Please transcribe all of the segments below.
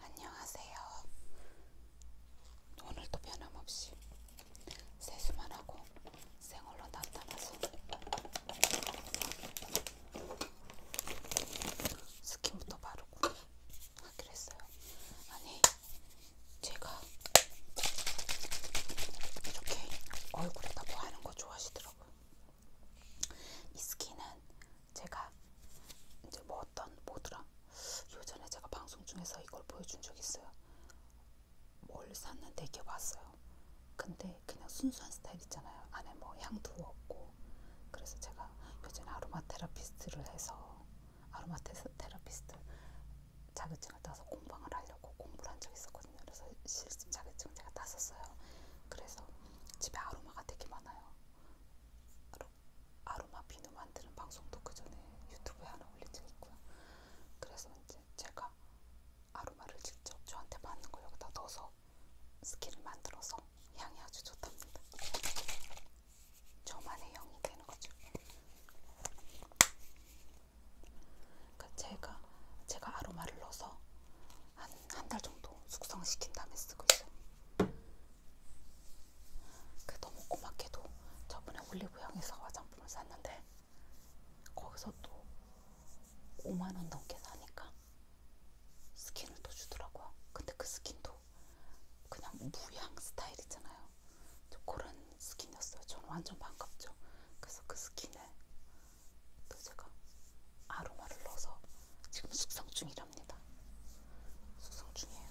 안녕하세요. 오늘도 변함없이 세수만 하고 생얼로 나타나서 스킨부터 바르고 하기로 했어요. 아니, 제가 이렇게 얼굴에다 뭐 하는 거 좋아하시더라고요. 이 스킨은 제가 이제 뭐 어떤 뭐더라 요전에 제가 방송 중에서 이걸 보여준 적 있어요. 뭘 샀는데 이게 왔어요. 근데 그냥 순수한 스타일 있잖아요. 안에 뭐 향도 없고 그래서 제가 요전에 아로마 테라피스트를 해서 아로마 테라피스트 자격증을 따서 공방을 하려고 공부를 한적 있었거든요. 그래서 실습 자격증 제가 땄었어요. 그래서 집에 아로마가 되게 많아요. 아로, 아로마 비누 만드는 방송도 그 전에 유튜브에 하나 올린 적 있고요. 그래서 이제 제가 아로마를 직접 저한테 받는 거 여기다 넣어서 스킨을 만들어서 향이 아주 좋답니다. 저만의 향이 되는 거죠. 그러니까 제가 제가 아로마를 넣어서 한 한 달 정도 숙성시킨 다음에 쓰고 있어요. 그 너무 고맙게도 저번에 올리브영에서 화장품을 샀는데 거기서 또 5만원 넘게 사니까 스킨을 또 주더라고요. 근데 그 스킨도 그냥 뭐 무향 스타일 있잖아요. 저 그런 스킨이었어요. 저는 완전 반갑죠. 그래서 그 스킨에 또 제가 아로마를 넣어서 지금 숙성 중이라 필요합니다. 수송 중이에요.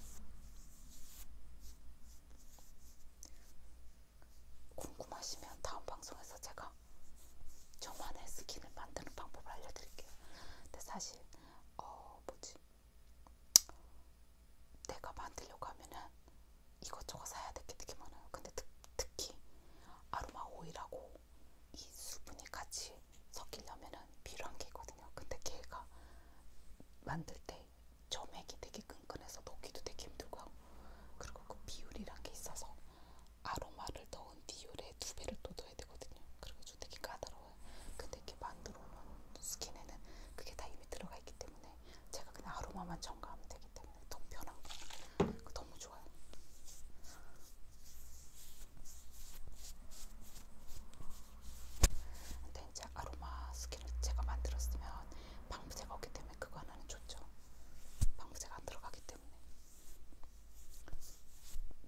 궁금하시면 다음 방송에서 제가 저만의 스킨을 만드는 방법을 알려드릴게요. 근데 사실 어 뭐지? 내가 만들려고 하면은 이것저것 사야 될게 되게 많아요. 근데 특, 특히 아로마 오일하고 이 수분이 같이 섞이려면은 필요한 게 있거든요. 근데 걔가 만들 때 점액이 되게 끈끈해서 녹기도 되게 힘들고 하고 그리고 그 비율이란 게 있어서 아로마를 넣은 비율의 두 배를 또 넣어야 되거든요. 그래가지고 되게 까다로워요. 근데 이렇게 만들어 놓은 스킨에는 그게 다 이미 들어가 있기 때문에 제가 그냥 아로마만 첨가하면 되기 때문에 너무 편한 거 너무 좋아요. 근데 이제 아로마 스킨을 제가 만들었으면 방부제가 없기 때문에 그거 하나는 좋죠. 방부제가 안 들어가기 때문에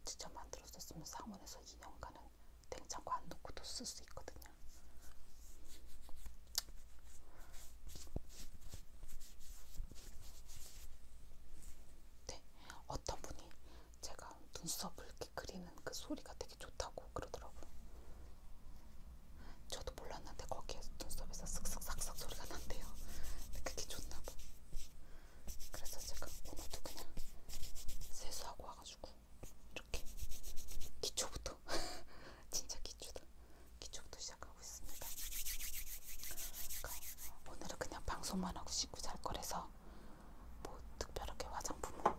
직접 만들었었으면 상온에서 2년간은 냉장고 안 놓고도 쓸 수 있거든요. 네, 어떤 분이 제가 눈썹을 이렇게 그리는 그 소리가 되게 좋다고 그러더라고요. 저도 몰랐는데 거기에 눈썹에서 쓱쓱싹싹 소리가 난대요. 근데 그게 좋나 봐. 그래서 제가 오늘도 그냥 세수하고 와가지고 이렇게 기초부터 진짜 기초다. 기초부터 시작하고 있습니다. 그러니까 오늘은 그냥 방송만 하고 씻고 잘 거라서 그래서 뭐 특별하게 화장품은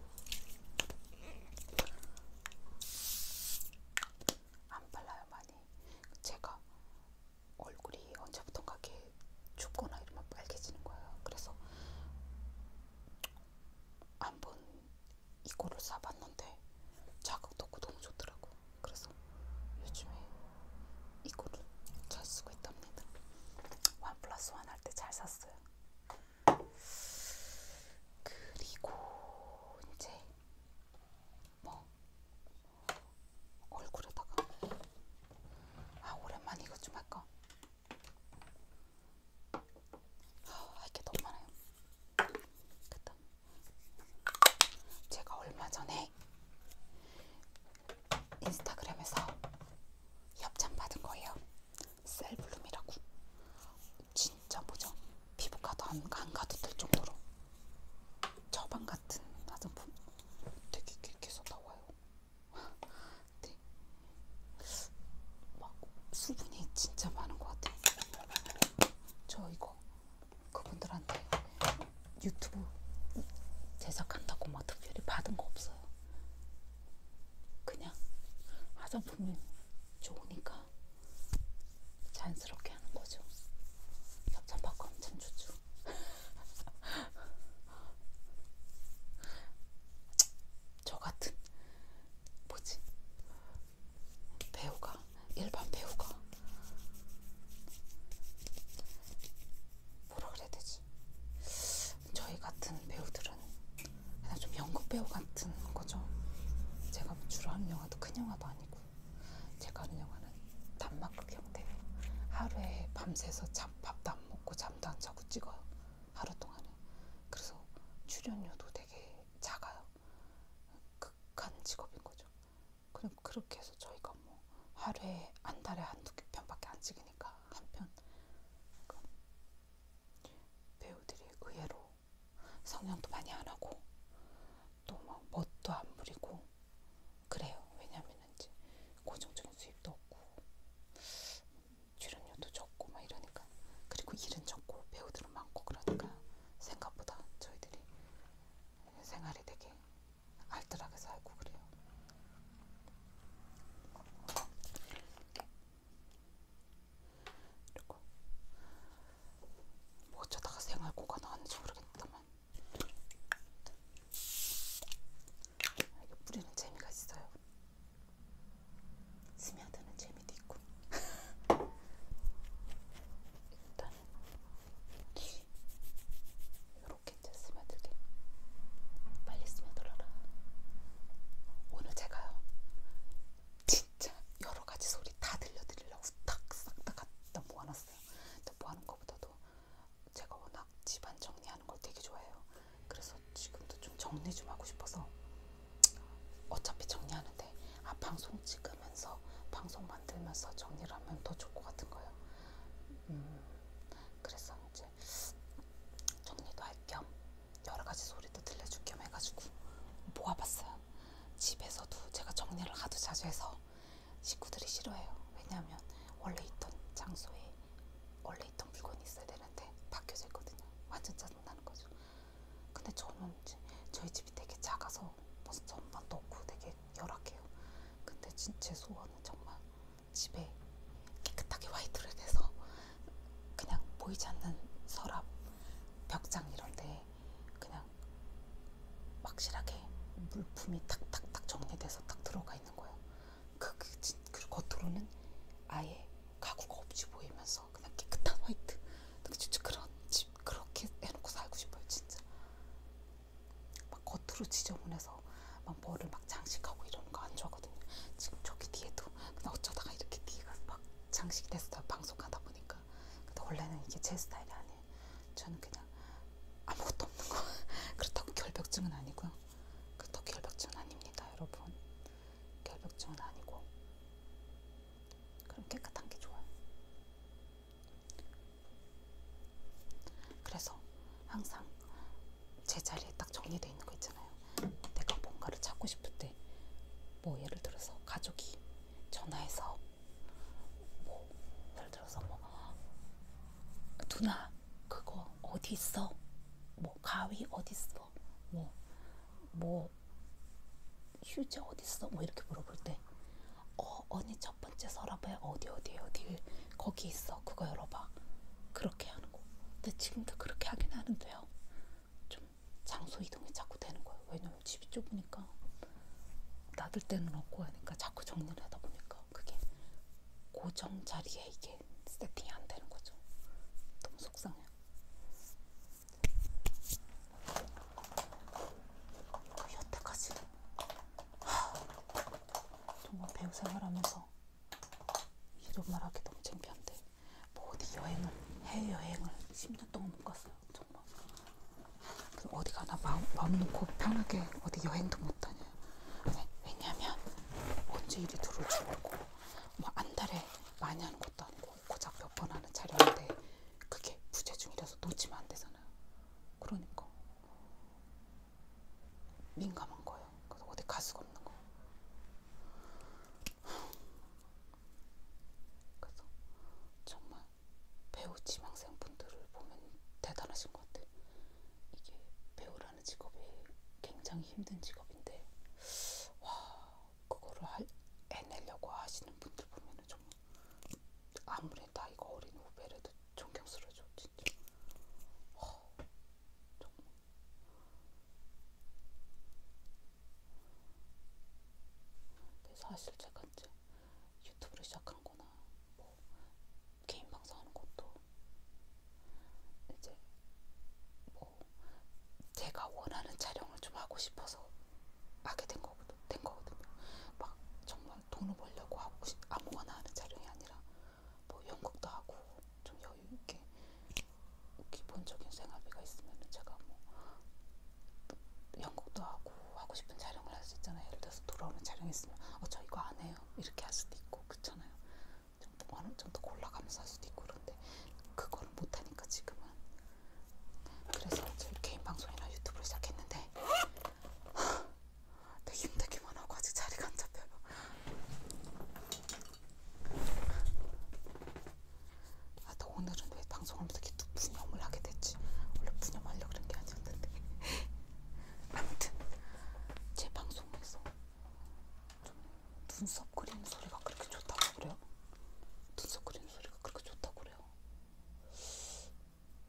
안 발라요 많이. 제가 얼굴이 언제부턴가 이렇게 춥거나 이러면 빨개지는 거예요. 그래서 한번 이거를 사봤는데 자극도 없고 너무 좋더라고. 그래서 요즘에 이거를 잘 쓰고 있답니다. 원 플러스 원할때 잘 샀어요. 알았어요. 그리고 이제 뭐 얼굴에다가 아 오랜만에 이것 좀 할까? 아 이게 너무 많아요. 됐다. 제가 얼마 전에 인스타그램에서 협찬 받은 거예요. 셀블룸이라고. 진짜 뭐죠? 피부과도 안, 안 가도 될 정도로 처방 같은 화장품 되게 계속 나와요. 네. 막 수분이 진짜 많은 것 같아요. 저 이거 그분들한테 유튜브 제작한다고 막 특별히 받은 거 없어요. 그냥 화장품이 좋으니까 자연스럽게 하는 거죠. 협찬받고 엄청 좋죠. 저 같은 뭐지 배우가 일반 배우가 뭐라 그래야 되지? 저희 같은 배우들 그런 그냥 좀 연극 배우 같은 거죠. 제가 주로 하는 영화도 큰 영화도 아니고 제가 하는 영화는 단막극 형태로 하루에 밤새서 잠, 밥도 안 먹고 잠도 안 자고 찍어요. 하루 동안에. 그래서 출연료도 되게 작아요. 극한 직업인 거죠. 그럼 그렇게 해서 저희가 뭐 하루에 한 달에 한두 편밖에 안 찍으니까 한편 배우들이 의외로 성형도 많이 안 하고 또막 멋도 안 부리고 그래요. 왜냐하면 이제 고정적인 수입도 없고 음, 출연료도 적고 막 이러니까 그리고 일은 적고 배우들은 많고 그러니까 생각보다 저희들이 생활이 되게 알뜰하게 살고 그래요. 그리고 뭐 어쩌다가 생활고가 나왔는지 모르겠다만 이게 뿌리는 재미가 있어요. 스며드는 재미도 있고 일단은 이렇게 됐습니다. 만들게. 빨리 스며들어라. 오늘 제가요. 진짜 여러 가지 소리 다 들려드리려고 싹싹 다 갖다 모아놨어요. 근데 모아놓은 것보다도 제가 워낙 집안 정리하는 걸 되게 좋아해요. 그래서 지금도 좀 정리 좀 하고 싶어서 어차피 정리하는데 아 방송 찍으면서 방송 만들면서 정리를 하면 더 좋을 것 같은 거예요. 음, 그래서 이제 이제 정리도 할 겸 여러 가지 소리도 들려줄 겸 해가지고 모아봤어요. 집에서도 제가 정리를 하도 자주 해서 식구들이 싫어해요. 왜냐하면 원래 있던 장소에 원래 있던 물건이 있어야 되는데 바뀌어져 있거든요. 완전 짜증나는 거죠. 근데 저는 이제 저희 집이 되게 작아서 무슨 전만 넣고 되게 열악해요. 근데 진짜 소원은 정말 집에 깨끗하게 화이트를 해서 그냥 보이지 않는 서랍, 벽장 이런데 그냥 확실하게 물품이 탁탁탁 정리돼서 딱 들어가 있는 거예요. 그, 그, 그 겉으로는 아예 가구가 없이 보이면서 그냥 깨끗한 화이트. 진짜 그런 집 그렇게 해놓고 살고 싶어요, 진짜. 막 겉으로 지저분해서 막 뭐를 막 장식하고 이런 거안 좋아하거든요. 지금 저기 뒤에도 근데 어쩌다가 이렇게 뒤가 막 장식이 됐어요. 방송하다 보니까. 근데 원래는 이게 제 스타일이 아니에요. 저는 그냥 아무것도 없는 거. 그렇다고 결벽증은 아니고요. 그렇다고 결벽증은 아닙니다, 여러분. 결벽증은 아니고. 그럼 깨끗한 게 좋아요. 그래서 항상 제자리에 딱 정리되어 있는 거 있잖아요. 내가 뭔가를 찾고 싶을 때, 뭐 예를 들어서 가족이 전화해서, 뭐 예를 들어서 뭐 누나 그거 어디 있어? 뭐 가위 어디 있어? 뭐뭐 뭐, 휴지 어디 있어? 뭐 이렇게 물어볼 때, 어 언니 첫 번째 서랍에 어디 어디 어디 거기 있어 그거 열어봐. 그렇게 하는 거. 근데 지금도 그렇게 하긴 하는데요. 좀 장소 이동이 자꾸 되는 거예요. 왜냐면 집이 좁으니까 놔둘 때는 없고 하니까 자꾸 정리를 하다 보니까 그게 고정 자리에 이게 세팅이 안 되는 거죠. 너무 속상해요. 그 여태까지 하, 정말 배우 생활하면서 이런 말하기 너무 창피한데 어디 여행을 해외 여행을 10년 동안 못 갔어요. 정말. 어디 가나 마음, 마음 놓고 편하게 어디 여행도 못 다녀요. 왜냐면 언제 일이 들어올 줄 모르고 뭐한 달에 많이 하는 것도 아니고 고작 몇 번 하는 촬영인데 그게 부재중이라서 놓치면 안 되잖아요. 그러니까 민감한 거예요. 그래서 어디 갈 수가 없는 거. 그래서 정말 배우 지망생분들을 보면 대단하신 것 같아. 이게 배우라는 직업이 굉장히 힘든 직업인데, 와 그거를 할, 해내려고 하시는 분들 보면은 정말 아무리 나이가 어린 후배라도 존경스러워져 진짜. 와, 정말. 근데 사실 제가 이제 유튜브를 시작한 거나 뭐 개인 방송하는 것도 이제 뭐 제가 원하는 촬영을 좀 하고 싶어서 하게 된 거거든, 된 거거든요. 막 정말 돈을 벌려고 하고 싶, 아무거나 하는 촬영이 아니라 뭐 연극도 하고 좀 여유 있게 기본적인 생활비가 있으면 제가 뭐 연극도 하고 하고 싶은 촬영을 할 수 있잖아요. 예를 들어서 돌아오는 촬영 있으면 어 저 이거 안 해요 이렇게 할 수도 있고 그렇잖아요. 좀더 어느 정도 골라가면서 할 수도 있고 그런데 그거를 못 하니까 지금은 그래서 제 개인 방송이나 유튜브를 시작했는데 되게 힘들기만 하고 아직 자리가 안 잡혀요. 아나 오늘은 왜 방송하면서 이렇게 또 분염을 하게 됐지? 원래 분염하려고 그런 게 아니었는데 아무튼 제 방송에서 좀 눈썹 그리는 소리가 그렇게 좋다고 그래요? 눈썹 그리는 소리가 그렇게 좋다고 그래요?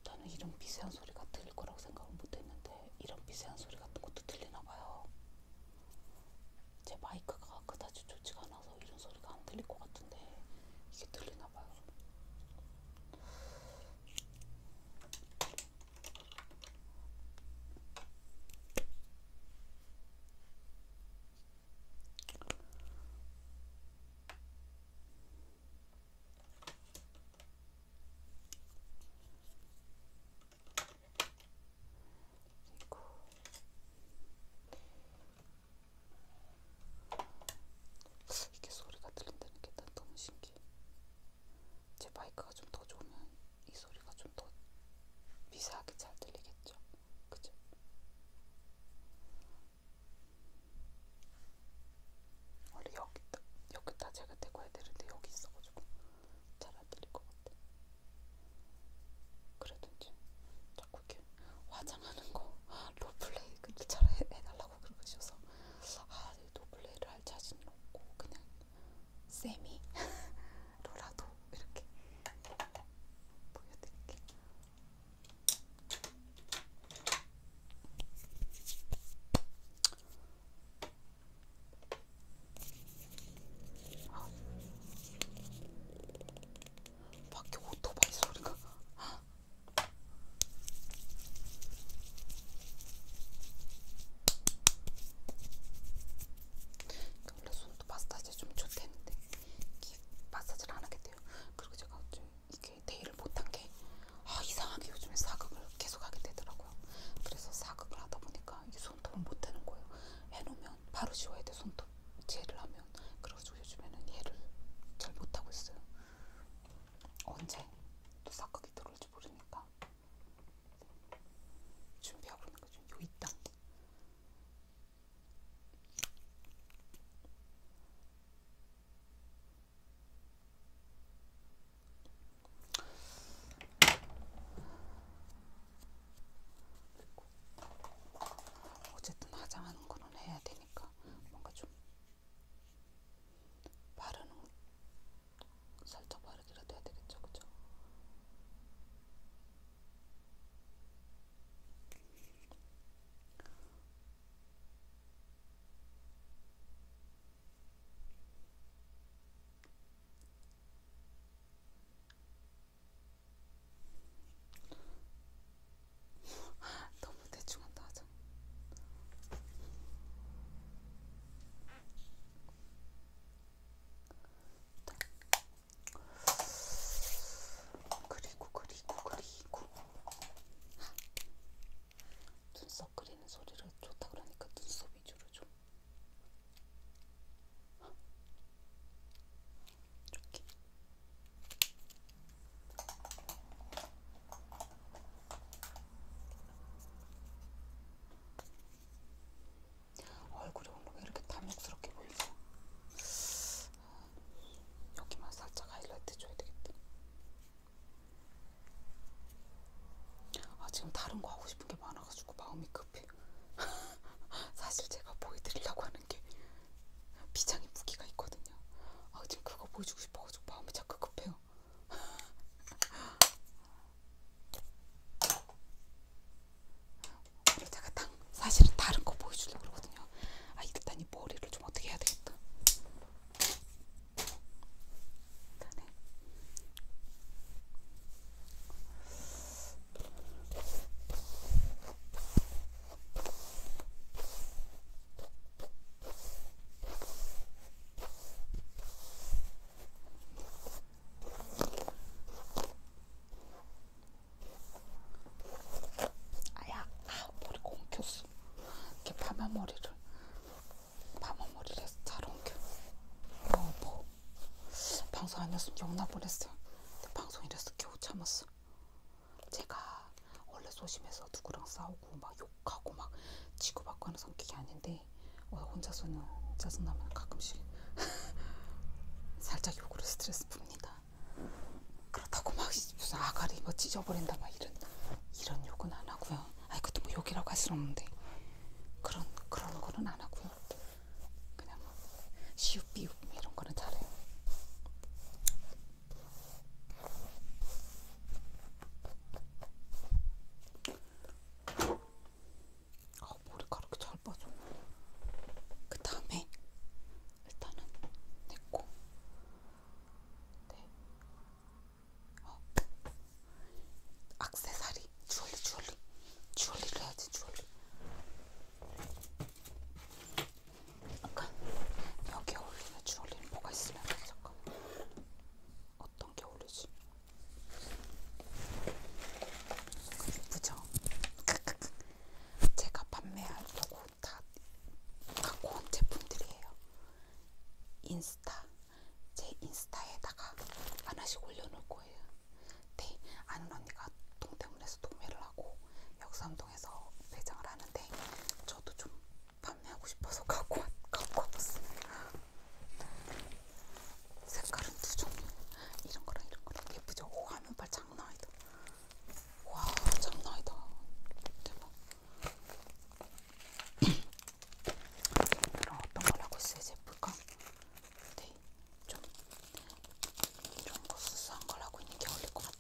나는 이런 미세한 소리가 들릴 거라고 생각을 못했는데 이런 미세한 소리 같은 것도 들리나 봐요. 제 마이크가 그다지 좋지가 않아서 이런 소리가 안 들릴 것 같은데 이게 들리나 봐요. 그리고 이게 소리가 들린다는 게 난 너무 신기해. 제 마이크가 좀 더 좋으면 이 소리가 좀 더 미세하게 잘 들리겠죠? 그죠? 원래 여기, 여기다 제가 대고 해야 되는데 여기 있어가지고. 잘안들릴 것 같아. 그래도 이제 자꾸 이렇게 화장하는 거 로플레이 그렇게 잘 해달라고 그러셔서 아 로플레이를 네, 할 자신이 없고 그냥 세미로라도 이렇게 보여드릴게요. 아. 밖에 오토바이 소리가. 아. 원래 손도 마사지 좀 좋대는데 마사지를 안 하게 돼요. 그리고 제가 좀 이게 데이를 못한 게 아, 이상하게 요즘에 사극을 계속 하게 되더라고요. 그래서 사극을 하다 보니까 이게 손톱은 못하는 거예요. 해놓으면 바로 지워야 돼 손톱 젤을 하면. 그래서 요즘에는 얘를 잘 못하고 있어요. 언제 또 삭각이 들어올지 모르니까 준비하고 있는 거죠. 요 이땅. 그리고 어쨌든 화장하는 거는 해야 되니까 뭔가 좀 바르는 살짝 바르기라도 해야 되겠죠, 그죠? 너무 대충한다 하자. 그리고 그리고 그리고 눈썹 그리는 소리를 좋다 그러니까 눈썹 위주로 좀. 좋게. 얼굴이 오늘 왜 이렇게 탐욕스럽게 보이지? 여기만 살짝 하이라이트 줘야 되겠다. 아 지금 다른 거 하고 싶은 게 많아가지고 마음이 급. 같아요. 사실 제가 보여드리려고 하는 게 비장의 무기가 있거든요. 아 지금 그거 보여주고 싶어가지고 마음이 자꾸 급해요. 오늘 제가 딱 사실은 다른 거 보여주려고 그러거든요. 아 일단 이 머리를 좀 어떻게 해야 되겠다. 일단에 아야, 아, 머리가 엉켰어. 이렇게 파마 머리를, 파마 머리를 잘 엉켜. 어, 뭐, 방송 아니었으면 욕나 보냈어요. 근데 방송이라서 겨우 참았어. 제가 원래 소심해서 누구랑 싸우고 막 욕하고 막 치고받고 하는 성격이 아닌데 어, 혼자서는 짜증나면 가끔씩 살짝 욕으로 스트레스 풉니다. 그렇다고 막 무슨 아가리 뭐 찢어버린다 막 이런 이런 욕은 안 하고요. 아, 그것도 뭐 욕이라고 할 수는 없는데 그런 그런 거는 안 하고요. 그냥 뭐 시옷 비웃 뭐 이런 거는 잘해요. 아 머리카락이 잘 빠져. 그 다음에 일단은 내고 네. 어. 악세사리 주얼리 주얼리 주얼리를 해야지 주얼리 아까 여기 어울리는 주얼리는 뭐가 있으면 잠깐 어떤 게 어울리지? 예쁘죠? 제가 판매하려고 다 갖고 온 제품들이에요. 인스타 제 인스타에다가 하나씩 올려놓을 거예요. 네, 아는 언니가 동대문에서 도매를 하고 역삼동에서 매장을 하는데 저도 좀 판매하고 싶어서 갖고 왔, 갖고 와봤어요. 색깔은 두 종류. 이런 거랑 이런 거랑 예쁘죠? 오, 화면빨 장난 아니다. 와, 장난 아니다. 대박. 그럼 어떤 걸 하고 있어야지 예쁠까? 네, 이렇게 좀, 좀 고수수한 걸 하고 있는 게 어울릴 것 같아.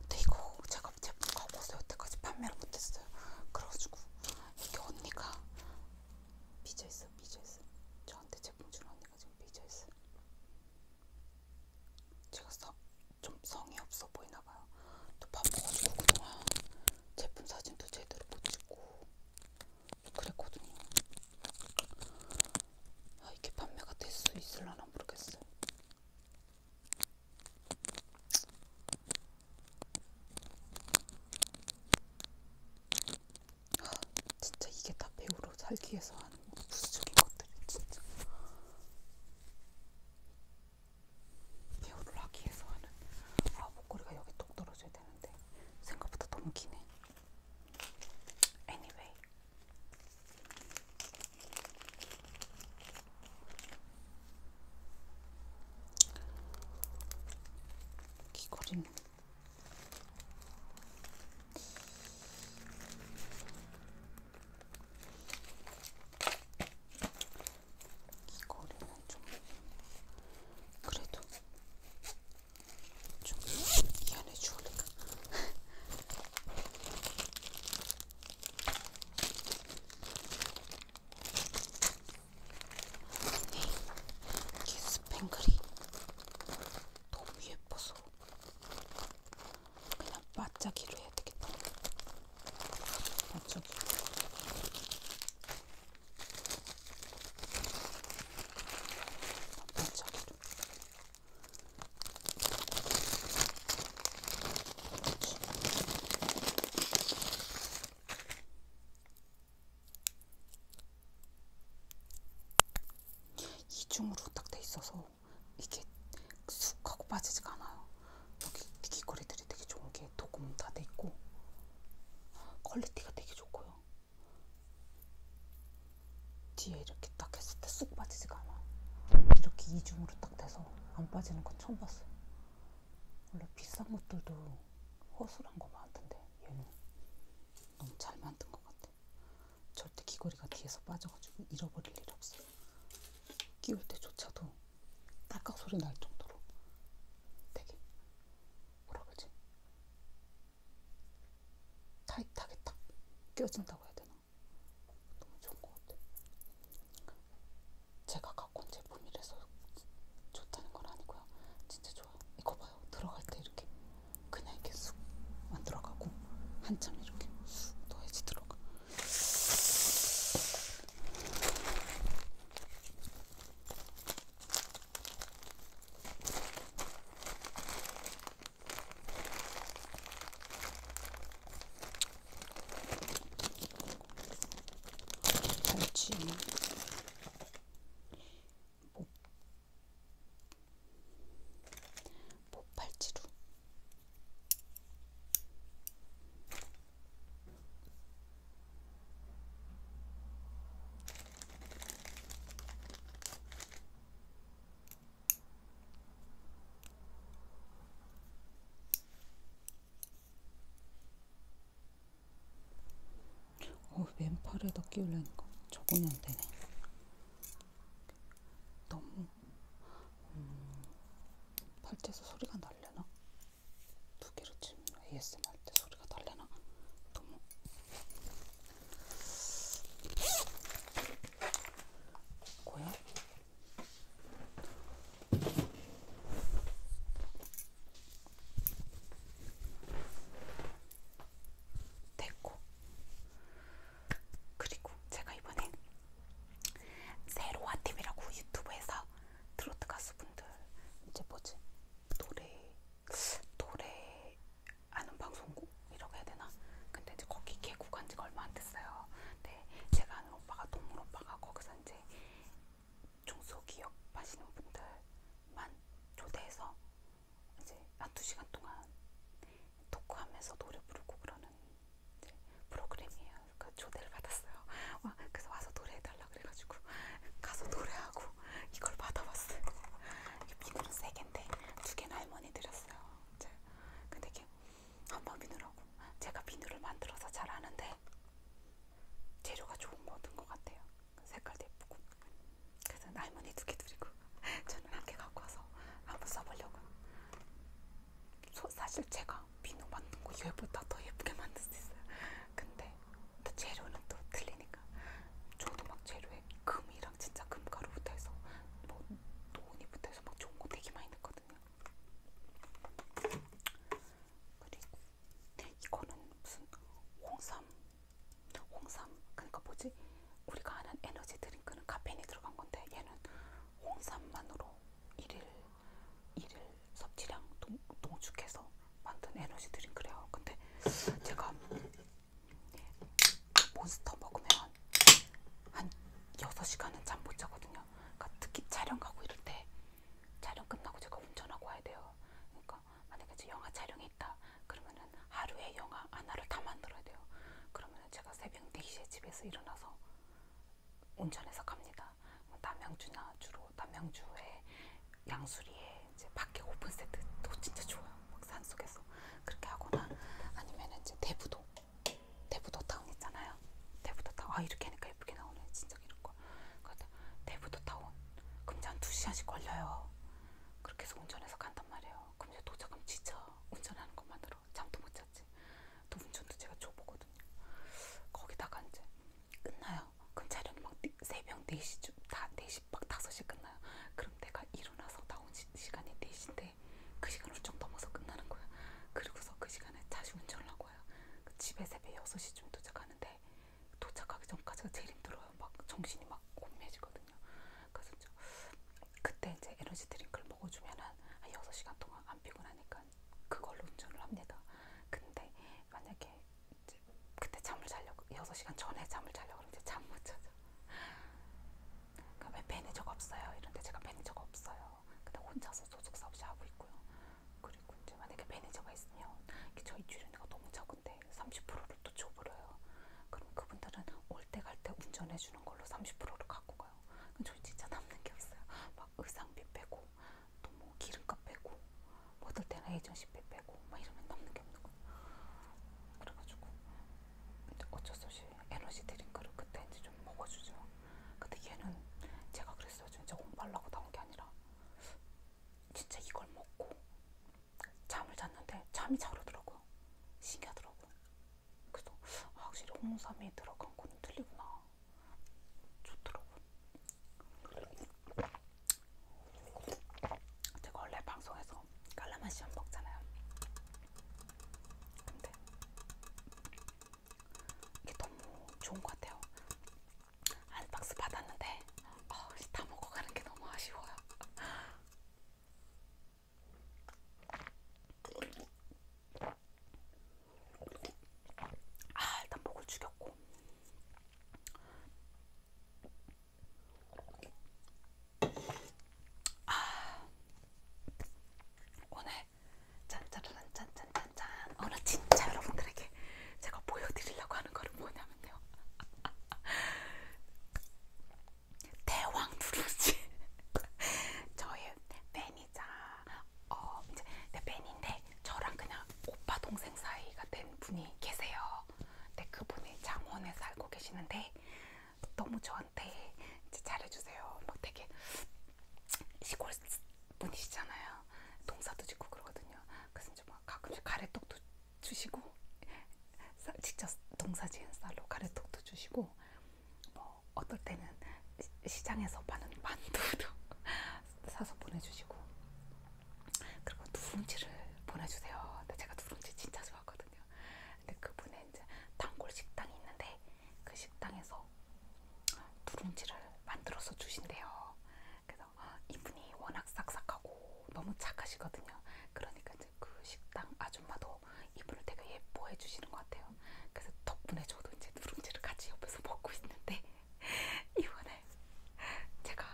근데 이거 제가 제품 갖고 왔어요. 여태까지 판매를 못했어요. 그래가지고 이게 언니가 삐져있어, 삐져있어. 저한테 제품 주는 언니가 지금 삐져있어. 제가 서, 좀 성의 없어 보이나봐요. 또 바빠가지고 그동안 제품 사진도 제대로 못 찍고 그랬거든요. 아, 이게 판매가 될 수 있을라나 모르겠어요. 아, 진짜 이게 다 배우로 살기 위해서 하는 부수적인 것들이 진짜. 배우를 하기 위해서 하는 아 목걸이가 여기 똑 떨어져야 되는 되는데 생각보다 너무 기네. Anyway. 귀걸이는 귀걸이는 좀 그래도 좀 미안해 죽을까? 네, 이게 스팽글이 너무 예뻐서 그냥 맞자기로 해야 되겠다. 맞자기. 반짝이로 이중으로 딱 돼 있어서 이게 쑥 하고 빠지지가 않아요. 여기 귀걸이들이 되게 좋은 게 안에 도금 다돼 있고 퀄리티가 되게 좋고요. 뒤에 이렇게 딱 했을 때 쑥 빠지지가 않아. 이렇게 이중으로 딱 돼서 안 빠지는 건 처음 봤어요. 원래 비싼 것들도 허술한 거 많던데 얘는 너무 잘 만든 것 같아. 절대 귀걸이가 뒤에서 빠져가지고 잃어버릴 일 없어요. 끼울 때조차도 딸깍 소리 날 정도로 되게 뭐라 그러지? 타이트하게 딱 껴진다고 해야 되나? 너무 좋은 것 같아. 제가 갖고 온 제품이라서 좋다는 건 아니고요. 진짜 좋아요. 이거 봐요. 들어갈 때 이렇게 그냥 이렇게 쑥안 들어가고 한참 이렇게 쑥 넣어야지 들어가. 갈치 목팔찌로 어, 왼팔에다 끼우려니까 저거는 안 되네. 너무 음, 팔찌에서 소리가 날려나? 두 개로 치면 ASMR. 때 소리가 달래나? 너무 고요? 됐고 그리고 제가 이번에 세로와 TV라고 유튜브에서 트로트 가수분들 이제 뭐지 노래 노래 아는 방송국 이라고 해야 되나? 근데 이제 거기 개국한 지가 얼마 안 됐어요. 근데 제가 아는 오빠가 동물 오빠가 거기서 이제 중소기업 하시는 분들만 초대해서 이제 한 두 시간 동안 토크하면서 노래 부르고 그러는 이제 프로그램이에요. 그 초대를 받았어요. 와, 그래서 와서 노래해달라. 해달라 그래가지고 가서 노래하고 이걸 받아봤어요. 비누는 세 개인데 두 개는 할머니 드렸어요. 근데 이게 한번 비누라고 제가 비누를 만들어서 잘 아는데 재료가 좋은 거 얻은 것 같아요. 색깔도 예쁘고 그래서 할머니 두 개 드리고 저는 한개 갖고 와서 한번 써보려고. 사실 제가 비누 만든 거 얘보다 더 예쁘게 만들 수 있어요. 근데 근데 재료는 또 틀리니까 저도 막 재료에 금이랑 진짜 금가루부터 해서 뭐 논이부터 해서 막 좋은 거 되게 많이 넣거든요. 그리고 이거는 무슨 홍삼, 홍삼 그러니까 뭐지? 우리가 아는 에너지 드링크는 카페인이 들어간 건데 얘는 홍삼만으로 일일 일일 섭취량 농, 농축해서 만든 에너지 드링크래요. 근데 제가 몬스터 먹으면 한 6시간은 잠 못 자거든요. 그러니까 특히 촬영 가고 이럴 때 촬영 끝나고 제가 운전하고 와야 돼요. 그러니까 만약에 이제 영화 촬영이 있다. 그러면은 하루에 영화 하나를 다 만들어야 돼요. 그러면은 제가 새벽 4시에 집에서 일어나서 운전해서 갑니다. 뭐 남양주나 주로 남양주에 양수리에 이제 밖에 오픈 세트도 진짜 좋아요. 막 산속에서 그렇게 하거나 아니면 이제 대부도 대부도 타운 있잖아요. 대부도 타운 아 이렇게 하니까 예쁘게 나오네 진짜 이런 거. 그러니까 대부도 타운 그럼 이제 한두 시간씩 걸려요. 그렇게 해서 운전해서 간단 말이에요. 그럼 이제 도착하면 지쳐 운전하는 것만으로 잠도 못 잤지. 또 운전도 제가 줘보거든요. 거기다가 이제 끝나요. 그럼 자료는 막 새벽 4시쯤 다 4시 막 5시 끝나요. 그럼 내가 일어나서 나온 시, 시간이 4시인데 그 시간을 좀 넘어서 끝나는 거야. 그리고서 그 시간에 다시 운전을 하고 와요. 그 집에 새벽 6시쯤 도착하는데 도착하기 전까지가 제일 힘들어요. 막 정신이 막 혼미해지거든요. 그래서 저, 그때 이제 에너지 드링크를 먹어주면 한 6시간 동안 안 피곤하니까 그걸로 운전을 합니다. 근데 만약에 이제 그때 잠을 자려고 6시간 전에 잠을 자려고 그러면 잠못 자죠. 그왜 매니저가 없어요? 이런데 제가 매니저가 없어요. 근데 혼자서 소속사 없이 하고 있고요. 그리고 이제 만약에 매니저가 있으면 저희 출연료가 너무 적은데 30%를 또 줘버려요. 그럼 그분들은 올 때 갈 때 운전해주는 걸로 30%를 갖고 가요. 그럼 저희 진짜 남는 게 없어요. 막 의상비 빼고 또 뭐 기름값 빼고 뭐 어떨 때는 에이전 10배 빼고 막 이러면 남는 게 없는 거야. 그래가지고 어쩔 수 없이 에너지 드링크를 그때 이제 좀 먹어주죠. 근데 얘는 제가 그랬어요. 진짜 공부하려고 나온 게 아니라 진짜 이걸 먹고 잠을 잤는데 잠이 잘 오더라고요. 신기하더라고요. 그래서 아, 확실히 홍삼이 들어간 거는 틀리구나. 좋더라고요. 제가 원래 방송에서 깔라맛이 안 먹잖아요. 근데 이게 너무 좋은 것 같아요. 한 박스 받았는데 어, 다 먹고 가는 게 너무 아쉬워요. 아 일단 목을 죽였고 아, 오늘 짠짜라란짠짠짠짠 오늘 진짜 여러분들에게 제가 보여드리려고 하는 거는 뭐냐면요 대왕 누룽지 저의 팬이자 어 이제 내 팬인데 저랑 그냥 오빠 동생 사이가 된 분이 계세요. 근데 네, 그분이 장원에 살고 계시는데 너무 저한테 이제 잘해주세요. 막 뭐 되게 시골 분이시잖아요. 동사도 짓고 그러거든요. 그래서 이제 막 가끔씩 가래떡도 주시고 직접 동사 지은 쌀로 가래떡도 주시고 뭐 어떨 때는 시장에서 파는 만두도 사서 보내주시고 그리고 누룽지를 보내주세요. 근데 제가 누룽지 진짜 좋아하거든요. 근데 그분의 이제 단골 식당이 있는데 그 식당에서 누룽지를 만들어서 주신대요. 그래서 이분이 워낙 싹싹하고 너무 착하시거든요. 그러니까 이제 그 식당 아줌마도 이분을 되게 예뻐해 주시는 것 같아요. 그래서 덕분에 저도 이제 누룽지를 같이 옆에서 먹고 있는데 이번에 제가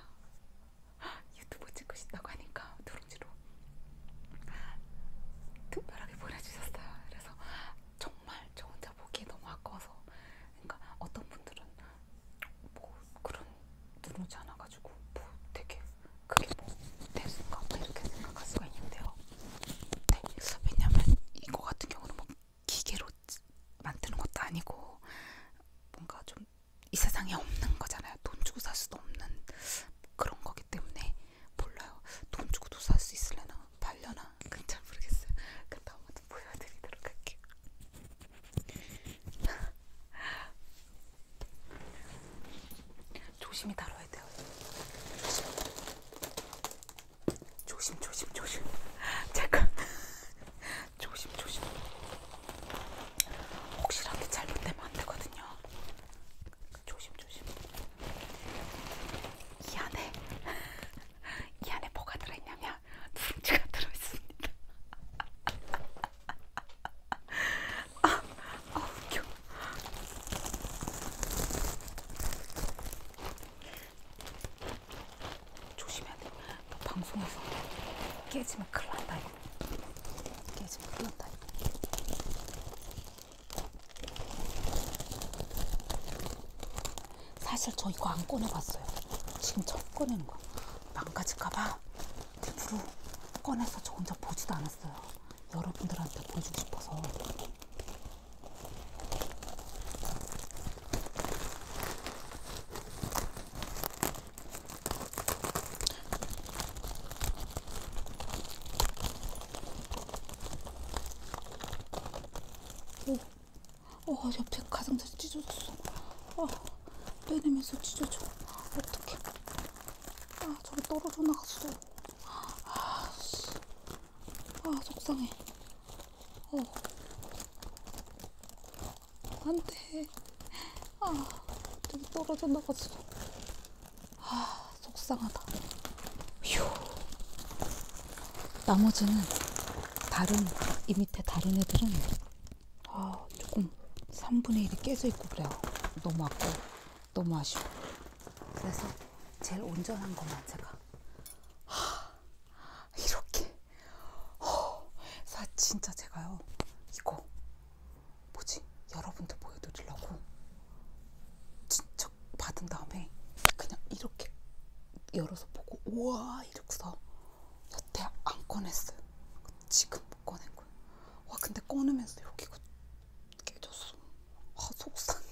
유튜브 찍고 싶다고 하니까 누룽지로 특별하게 보내주셨어요. 그래서 정말 저 혼자 보기에 너무 아까워서 그러니까 어떤 분들은 뭐 그런 누룽지 하나 가지고 뭐 되게 그게 뭐 대수인가 뭐 이렇게 생각할 수가 있는데요. 네, 왜냐면 이거 같은 경우는 뭐 기계로 만드는 것도 아니고 뭔가 좀이 세상에 없는 거잖아요. 돈 주고 살 수도 없는 그런 거기 때문에 몰라요. 돈 주고도 살 수 있으려나 말려나 그건 잘 모르겠어요. 그럼 다음부터 보여드리도록 할게요. 조심히 다뤄야 돼요. 조심 조심 조심. 잠깐 조심 조심. 혹시라도 잘못되면 안 되거든요. 조심 조심. 이 안에 이 안에 뭐가 들어있냐면 누룽지가 들어있습니다. 아, 아 웃겨. 조심해야 돼. 너 방송에서 깨지면 큰일 난다. 이게 지금 끝났다. 사실 저 이거 안 꺼내봤어요. 지금 처음 꺼내는 거야. 망가질까봐 일부러 꺼내서 저 혼자 보지도 않았어요. 여러분들한테 보여주고 싶어서. 오, 어, 옆에 가장자리 찢어졌어. 어, 빼내면서 찢어져. 어떡해. 아, 저기 떨어져 나갔어. 아, 씨. 아, 속상해. 어. 안돼 아 저기 떨어져 나갔어 아 속상하다 휴 나머지는 다른 이 밑에 다른 애들은 아 조금 3분의 1이 깨져 있고 그래요 너무 아까워 너무 아쉬워 그래서 제일 온전한 것만 제가 하, 이렇게 허, 사 진짜 제가요 이거 뭐지? 여러분들 보여드리려고 진척 받은 다음에 그냥 이렇게 열어서 보고 우와 이러고서 여태 안 꺼냈어요. 지금 못 꺼낸 거예요. 와 근데 꺼내면서 여기가 그 깨졌어. 아 속상해.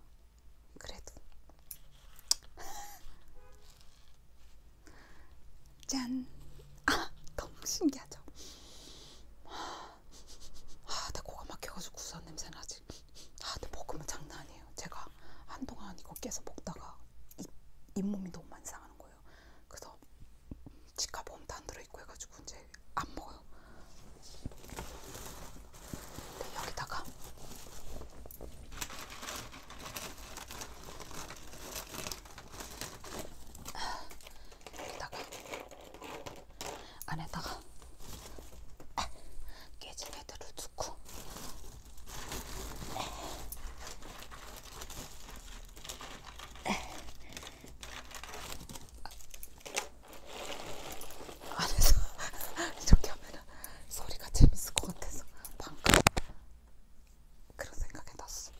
그래도 짠! 아! 너무 신기하죠? 아, 내 코가 막혀가지고 구수한 냄새 나지? 아, 내 볶음은 장난 아니에요. 제가 한동안 이거 깨서 먹다가 입, 잇몸이 너무 많이 상하는 거예요. 그래서 치카보험도 안 들어있고 해가지고 이제 안 먹어요. 근데 여기다가 여기다가 안에다가 깨진 애들을 넣고 안에서 이렇게 하면 소리가 재밌을 것 같아서 방금 그런 생각이 났어.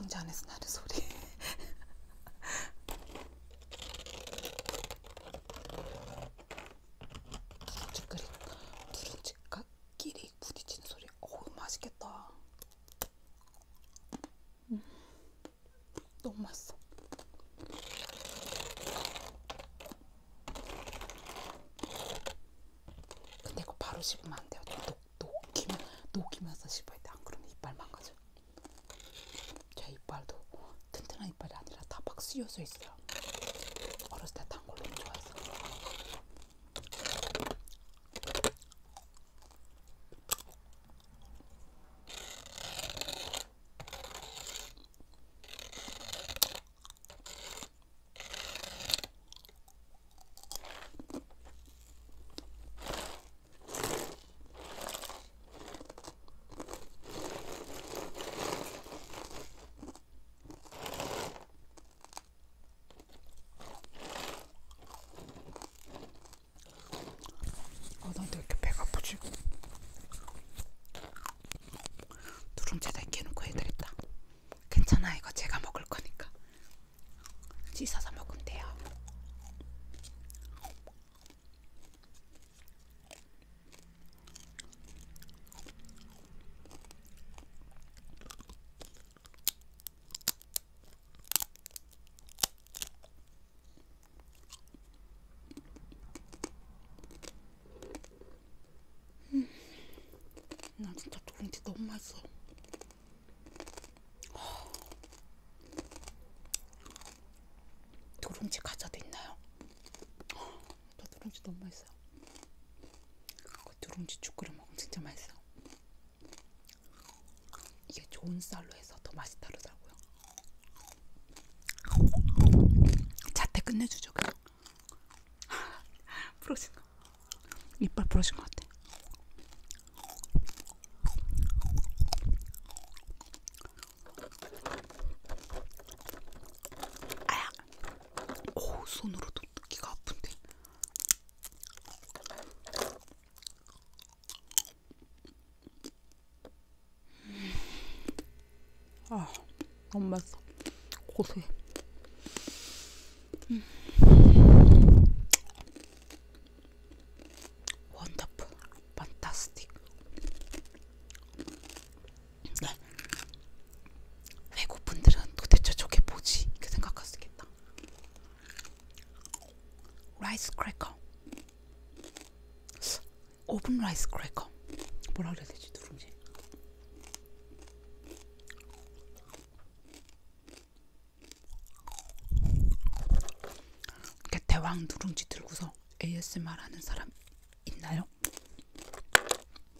누룽지 안에서 나는 소리. 누룽지 끓인 누룽지깍끼리 부딪히는 소리. 어우 맛있겠다. 음. 너무 맛있어. 근데 이거 바로 씹으면 안 돼요. 녹, 녹이면, 녹이면서 씹어야 돼. 안 그러면 이빨 망가져. 제 이빨도 튼튼한 이빨이 아니라 다막 쓰여져 있어요. 어렸을 때다 단골 너무 좋아해서. 어, 나도 이렇게 배가 아프지? 누룽지다 깨놓고 해드렸다. 괜찮아, 이거 제가 먹을 거니까. 씻어서 먹으면 돼요. 음, 나 진짜 두근치 너무 맛있어. 아. 도룽지 과자도 있나요? 나 누룽지 너무 맛있어. 그 누룽지 죽 끓여 먹으면 진짜 맛있어. 이게 좋은 쌀로 해서 더 맛이 다르더라고요. 자태 끝내주죠, 그냥. 부러진 거. 이빨 부러진 것 같아. 아야. 오 손으로도 기가 아픈데. 아, 너무 맛있어. 고소해. 음. 원더풀, 판타스틱. 네. 외국분들은 도대체 저게 뭐지? 이렇게 생각할 수 있겠다. 라이스 크래커. 오븐 라이스 크래커. 뭐라 그래야 되지? 누룽지. 이렇게 대왕 누룽지 들고서 ASMR 하는 사람 있나요?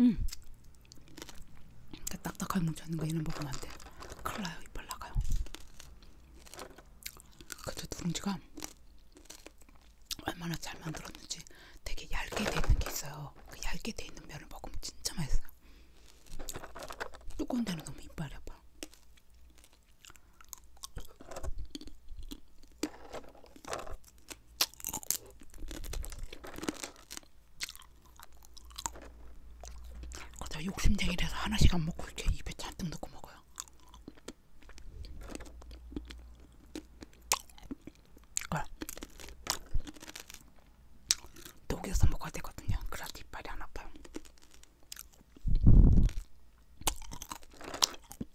음. 그러니까 딱딱하게 뭉쳤는 거 이런 먹으면 안 돼. 큰일 나요. 이빨 나가요. 근데 누룽지가 얼마나 잘 만들었는지 되게 얇게 돼 있는 게 있어요. 그 얇게 돼 있는 면을 먹으면 진짜 맛있어요. 뜨거운 데는 너무 이빨이 아파. 그러다 욕심쟁이라서 하나씩 안 먹고 이렇게 입에 잔뜩 넣고 먹어요. 그걸 녹여서 먹어야 되거든요. 그래야 이빨이 안 아파요.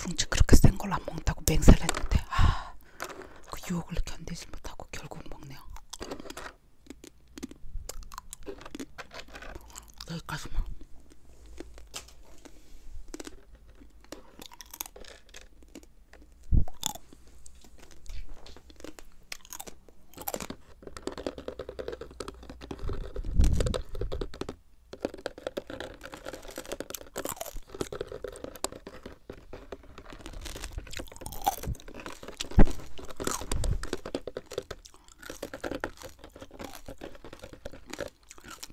두룽치 그렇게 센 걸안 먹는다고 맹세를 했는데 아그 유혹을 견디지 못하고 결국 먹네요. 여기까지만.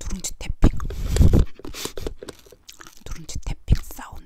누룽지 태핑 누룽지 태핑 사운드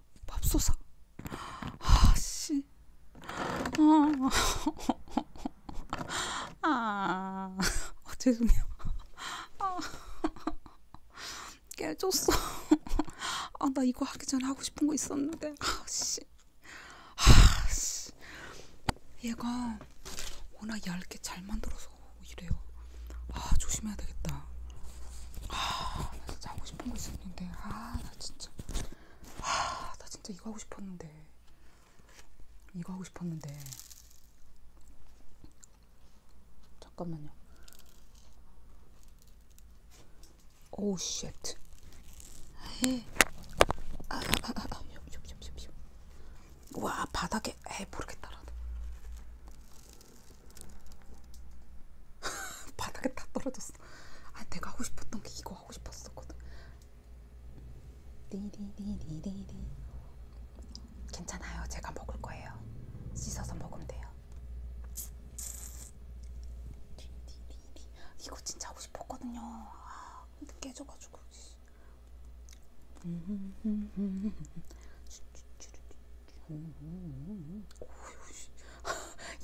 맙소사. 아, 씨. 아, 아 죄송해요. 아, 깨졌어. 아, 나 이거 하기 전에 하고 싶은 거 있었는데. 아, 씨. 아, 씨. 얘가 워낙 얇게 잘 만들어서 이래요. 아, 조심해야 되겠다. 아, 나 진짜 하고 싶은 거 있었는데. 아, 나 진짜. 하, 나 진짜 이거 하고 싶었는데. 이거 하고 싶었는데. 잠깐만요. 오우 쉣. 아, 아, 아, 아. 와 바닥에 에 모르겠다 라도 바닥에 다 떨어졌어 아 내가 하고 싶었던 게 이거 이거 하고 싶었었거든. 디디디디디디. 괜찮아요. 제가 먹을 거예요. 씻어서 먹으면 돼요. 디디디디. 이거 진짜 하고 싶었거든요. 아, 근데 깨져가지고.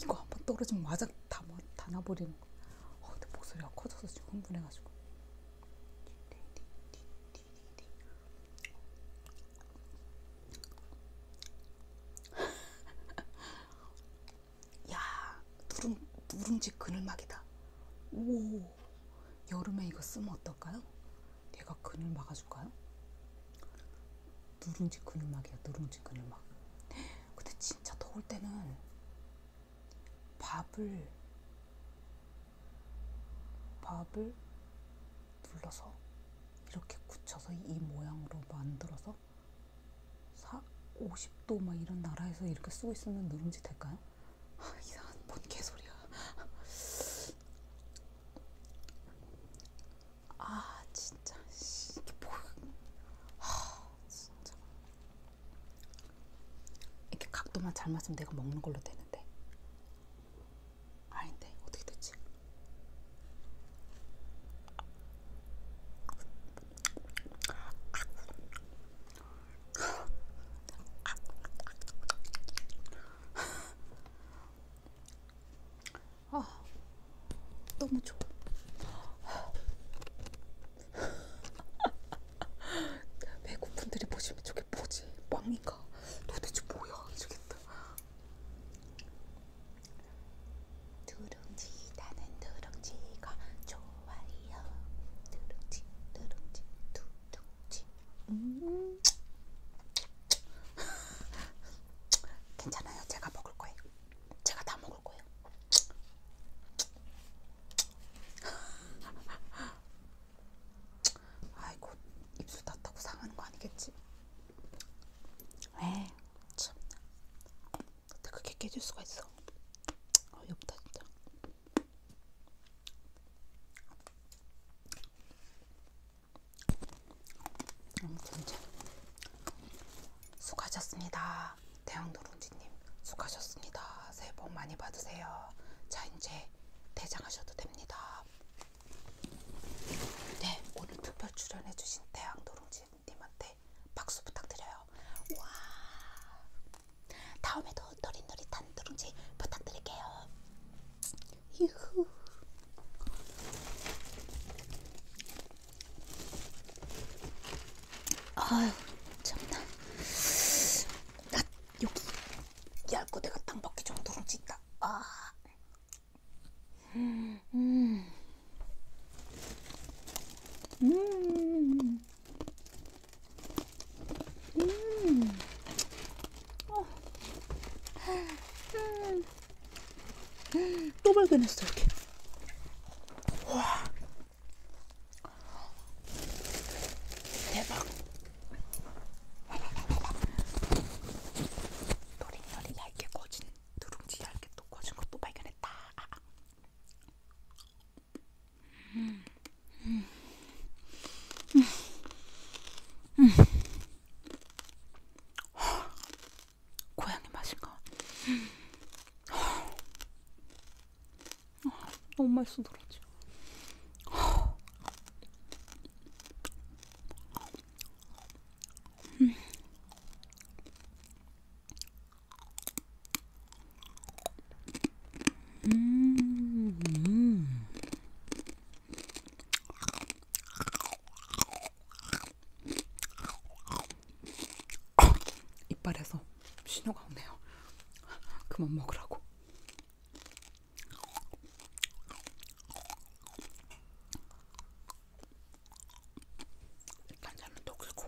이거 한번 떨어지면 마작 다, 뭐, 다 나버리는. 어, 내 목소리가 커져서 지금 흥분해가지고. 야, 누룽, 누룽지 그늘막이다. 오, 여름에 이거 쓰면 어떨까요? 내가 그늘 막아줄까요? 누룽지 그늘막이야 누룽지 그늘막 근데 진짜 더울 때는 밥을 밥을 눌러서 이렇게 굳혀서 이 모양으로 만들어서 4, 50도 막 이런 나라에서 이렇게 쓰고 있으면 누룽지 될까요? 아, 이상한 뭔 개소리야 아 진짜 이게 뭐야 아, 진짜. 이렇게 각도만 잘 맞으면 내가 먹는 걸로 되는데. 아닌데 어떻게 됐지? 아, 너무 좋아. 외국 분들이 보시면 저게 뭐지? 왕인가? 도대체 뭐야? 이러겠다. 누룽지 나는 누룽지가 좋아요. 누룽지 누룽지 두둥지. 음. 괜찮아요. 제가 먹을 거예요. 제가 다 먹을 거예요. 아이고 입술 닿다고 상하는 거 아니겠지? 에 참. 근데 그게 깨질 수가 있어. 어이없다 진짜. 음, 진짜. 수고하셨습니다. 대왕노른지님 수고하셨습니다. 새해 복 많이 받으세요. 자 이제 대장하셔도 됩니다. 네 오늘 특별 출연해주신 대왕노른지님한테 박수 부탁드려요. 와 다음에도 노릿노릿한 누룽지 부탁드릴게요. 유후. 아유 참나 나 여기 얇고 내가 땅밖에 정도로 찐다 아. 음. 음. 음. 어. 음. 또 발견했어 이렇게 와 대박. 노린노린 얇게 꺼진 누룽지 얇게 또 꺼진 것도 발견했다. 아. 음. 음. 음. 음. 고양이 맛인가? 아, 너무 맛있어 들었지. 음, 음. 아, 이빨에서 신호가 오네요. 그만 먹으라고. 간장은 또 긁고.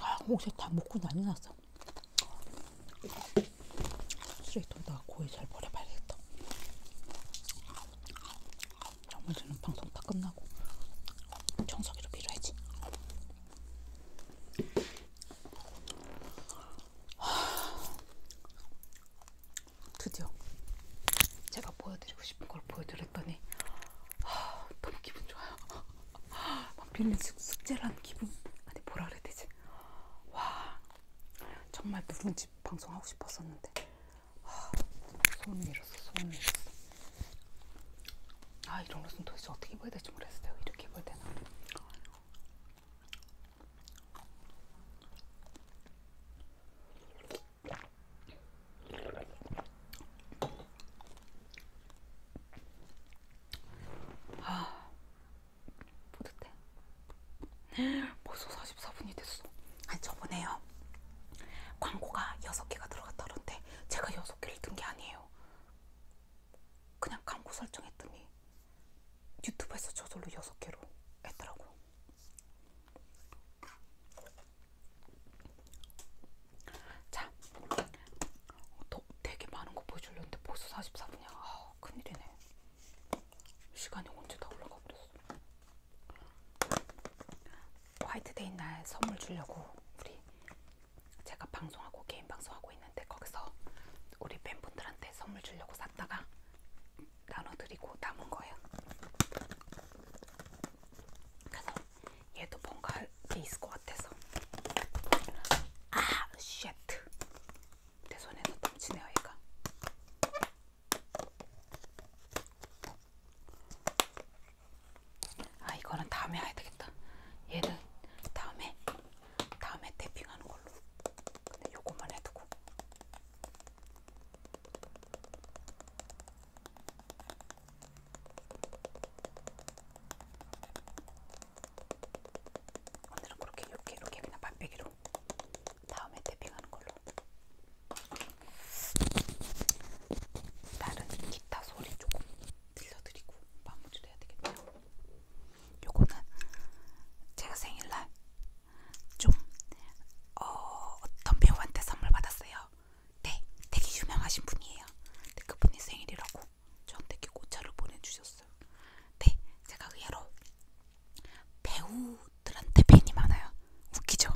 아, 혹시 다 먹고 난리 났어. 쓰레기통에다가 고기 잘 버려봐야겠다. 정말주는 방송 다 끝나고 청소기로 밀어야지. 드디어 제가 보여드리고 싶은 걸 보여드렸더니 하, 너무 기분 좋아요. 막 빌린 숙제라는 기분 아니 뭐라 그래야 되지? 와 정말 누룽지 방송하고 싶었었는데 손 밀었어, 손 밀었어. 아, 이런 옷은 도대체 어떻게 입어야 될지 모르겠어요. 이렇게 입어야 되나? 아, 뿌듯해. 벌써 44분이 됐어. 아니, 저번에요. 보니까 광고가 6개가 들어갔다는데 제가 6개를 든게 아니에요. 그냥 광고 설정했더니 유튜브에서 저절로 6개로 했더라고요. 자, 더 되게 많은 거 보여주려는데 벌써 44분이야. 아, 큰일이네. 시간이 언제 다 올라가 버렸어. 화이트데이 날 선물 주려고 우리 제가 방송하고 개인 방송하고 있는데 거기서 우리 팬분들한테 선물 주려고 샀다가 나눠드리고 남은 거예요. 그래서 얘도 뭔가 할 게 있을 것 같아서 아! 쉣! 내 손에서 넘치네요 얘가 아 이거는 다음에 해야 되겠다. 얘는 다음에 다음에 탭핑하는 걸로. 근데 요것만 해두고. 오늘은 그렇게 이렇게 이렇게 그냥 맛배기로 다음에 탭핑하는 걸로. 다른 기타 소리 조금 들려드리고 마무리를 해야 되겠네요. 요거는 제가 생일날 좀 어, 어떤 배우한테 선물 받았어요. 네, 되게 유명하신 분이에요. 근데 그분이 생일이라고 저한테 이렇게 꽃차를 보내주셨어요. 네, 제가 의외로 배우들한테 팬이 많아요. 웃기죠?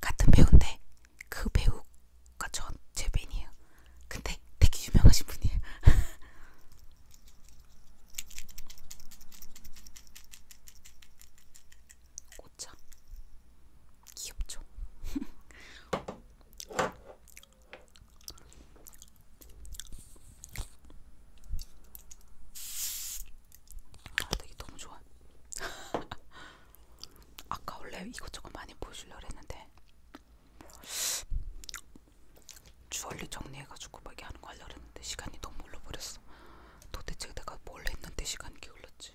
같은 배우인데 그 배우가 전제 팬이에요. 근데 되게 유명하신 분이에요. 꽃차 귀엽죠? 아, 되게 너무 좋아. 아까 원래 이것저것 많이 보여주려고 했는데 주얼리 정리해가지고 막 하는 거 하려고 했는데 시간이 너무 흘러버렸어. 도대체 내가 뭘 했는데 시간이 흘렀지?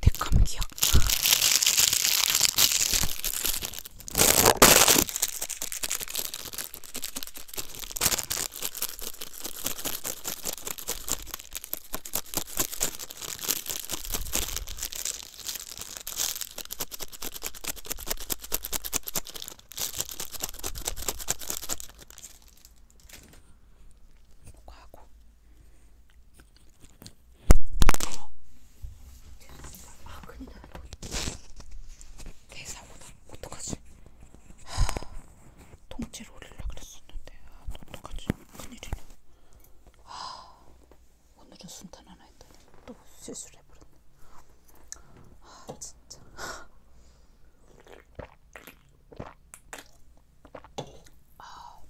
내 감기야. 과고 아, 큰일 나. 대사고다. 어떡하지? 하, 통째로 올리려고 그랬었는데. 아, 어떡하지? 큰일이네. 아, 오늘은 순탄 하나 했더니 또 실수를 해버렸네. 아, 진짜. 아,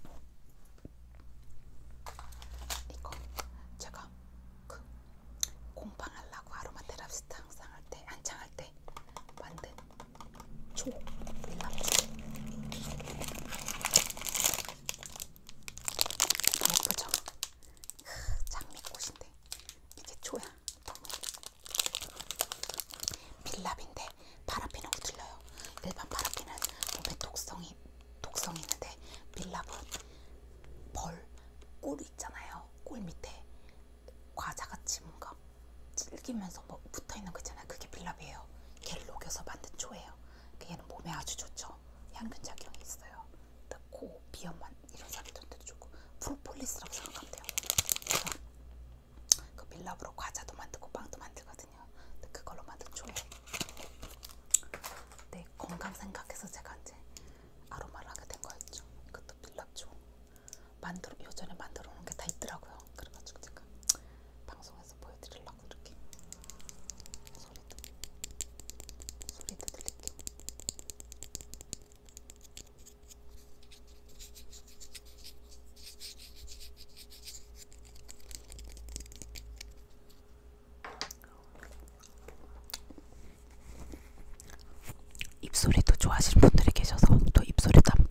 이거 제가 그 공방하려고 아로마 테라피스 항상 할 때, 한창 할때 만든 초 밀랍초 예쁘죠? 장미꽃인데 이게 초야. 밀랍인데 있는데 파라핀하고 틀려요. 일반 파라핀은 몸에 독성이 독성이 있는데 밀랍은 벌, 꿀 있잖아요. 꿀 밑에 과자같이 뭔가 질기면서 뭐 붙어있는 거 있잖아요. 그게 밀랍이에요. 걔를 녹여서 만든 초예요. 걔는 몸에 아주 좋죠. 향균작용이 있어요. 코, 비염만 이런 사람들한테 주고 프로폴리스라고 생각하면 돼요. 그러니까 그 밀랍으로 과자도 만들고 빵도 만들거든요. 근데 그걸로 만든 좋아요. 네, 건강 생각해서 제가 이제 아로마를 하게 된 거였죠. 그것도 밀랍죠. 만들어 요전에 만들어 놓은 게 다 있더라고요. 그래가지고 제가 방송에서 보여드리려고 이렇게 소리도 소리도 들릴게요. 입소리도 좋아하시는 분들이 계셔서 또 입소리도 한번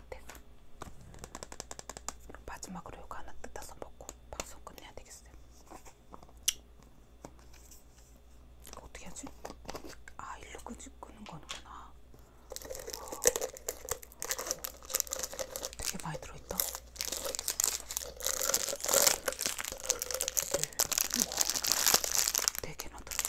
같아서 그럼 마지막으로 이거 하나 뜯어서 먹고 방송 끝내야 되겠어요. 이거 어떻게 하지? 아 일로 끄는 거는구나. 되게 많이 들어있다. 네 개나 들어있어.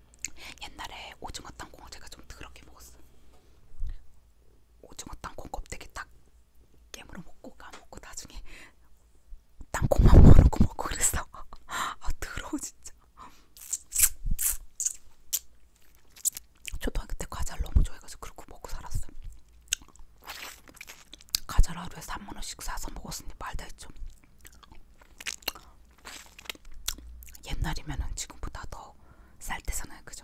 옛날에 오징어 땅콩 제가 좀 더럽게 먹었어. 오징어 땅콩 껍데기 딱 깨물어 먹고 까먹고 나중에 땅콩만 모르고 먹고 그랬어. 아 더러워 진짜. 초등학교 때 과자를 너무 좋아해가지고 그렇게 먹고 살았어. 과자를 하루에 3만원씩 사서 먹었으니 말다 했죠. 옛날이면은 지금보다 더 쌀 때잖아요, 그죠?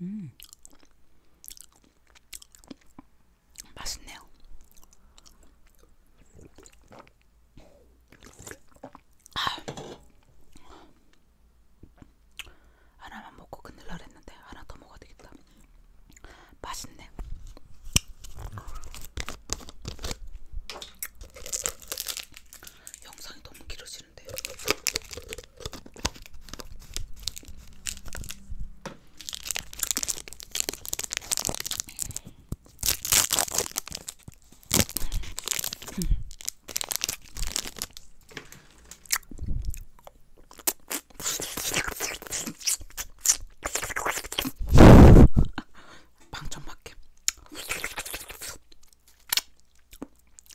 음. 맛있네요. 아. 하나만 먹고 끝낼라 했는데 하나 더 먹어야 되겠다. 맛있네. 영상이 너무 길어지는데. 방청밖에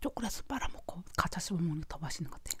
초콜릿을 빨아먹고 가짜 씹어먹는 게더 맛있는 것 같아요.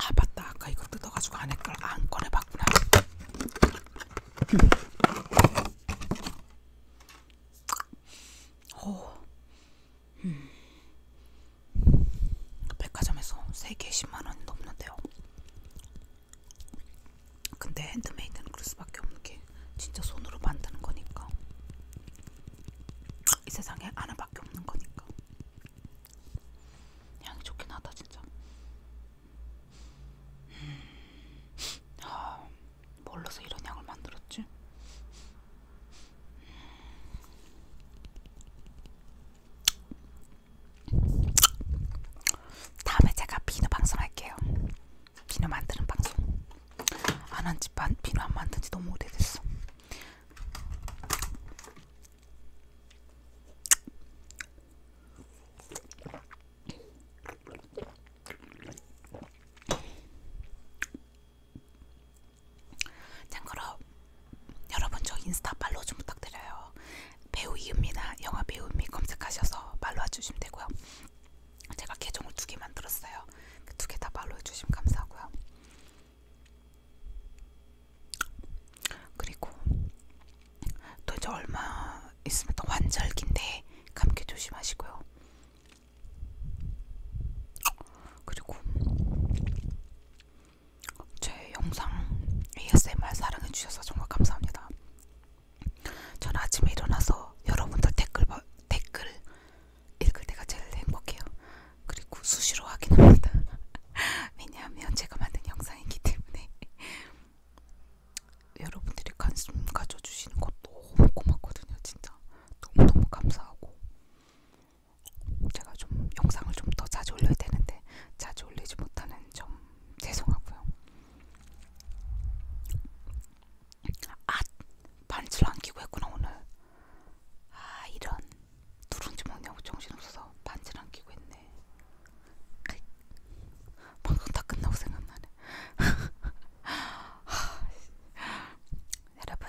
아 맞다 아까 이거 뜯어가지고 안에 걸안 꺼내봤구나 오 음. 백화점에서 3개 10만원이 넘는데요. 근데 핸드메이드는 그럴 수밖에 없는 게 진짜 손으로 만드는 거니까. 이 세상에 하나밖에 없는 거니까. 향이 좋긴 하다, 진짜. 아, 뭘로서 이런 향을 만들었지? 다음에 제가 비누 방송할게요. 비누 만드는 방송. 안한지 비누 안 만든 지 너무 오래됐어. 참고로 여러분 저 인스타 팔로우 좀 부탁드려요. 배우 이은미나 영화 배우미 검색하셔서 팔로우 해주시면 되고요. 제가 계정을 두 개 만들었어요. 그두개 다 팔로우 해주시면 감사하고요. 그리고 또 이제 얼마 있으면 또 환절기인데 감기 조심하시고요. 그리고 제 영상 ASMR 사랑해주셔서 정말 감사합니다. 전 아침에 일어나서 여러분들 댓글, 댓글 읽을 때가 제일 행복해요. 그리고 수시로 확인합니다. 왜냐하면 제가 만든 영상이기 때문에 여러분들이 관심 가져주시는 것 너무 고맙거든요. 진짜 너무너무 감사하고 제가 좀 영상을 좀 더 자주 올려야 되는데 자주 올리지 못하는 점 죄송하고요. 아 반지를 안 끼고 했구나 오늘. 아 이런 누룽지 먹냐고 정신없어서 반지를 안 끼고 했네. 방송 다 끝나고 생각나네. 아, 여러분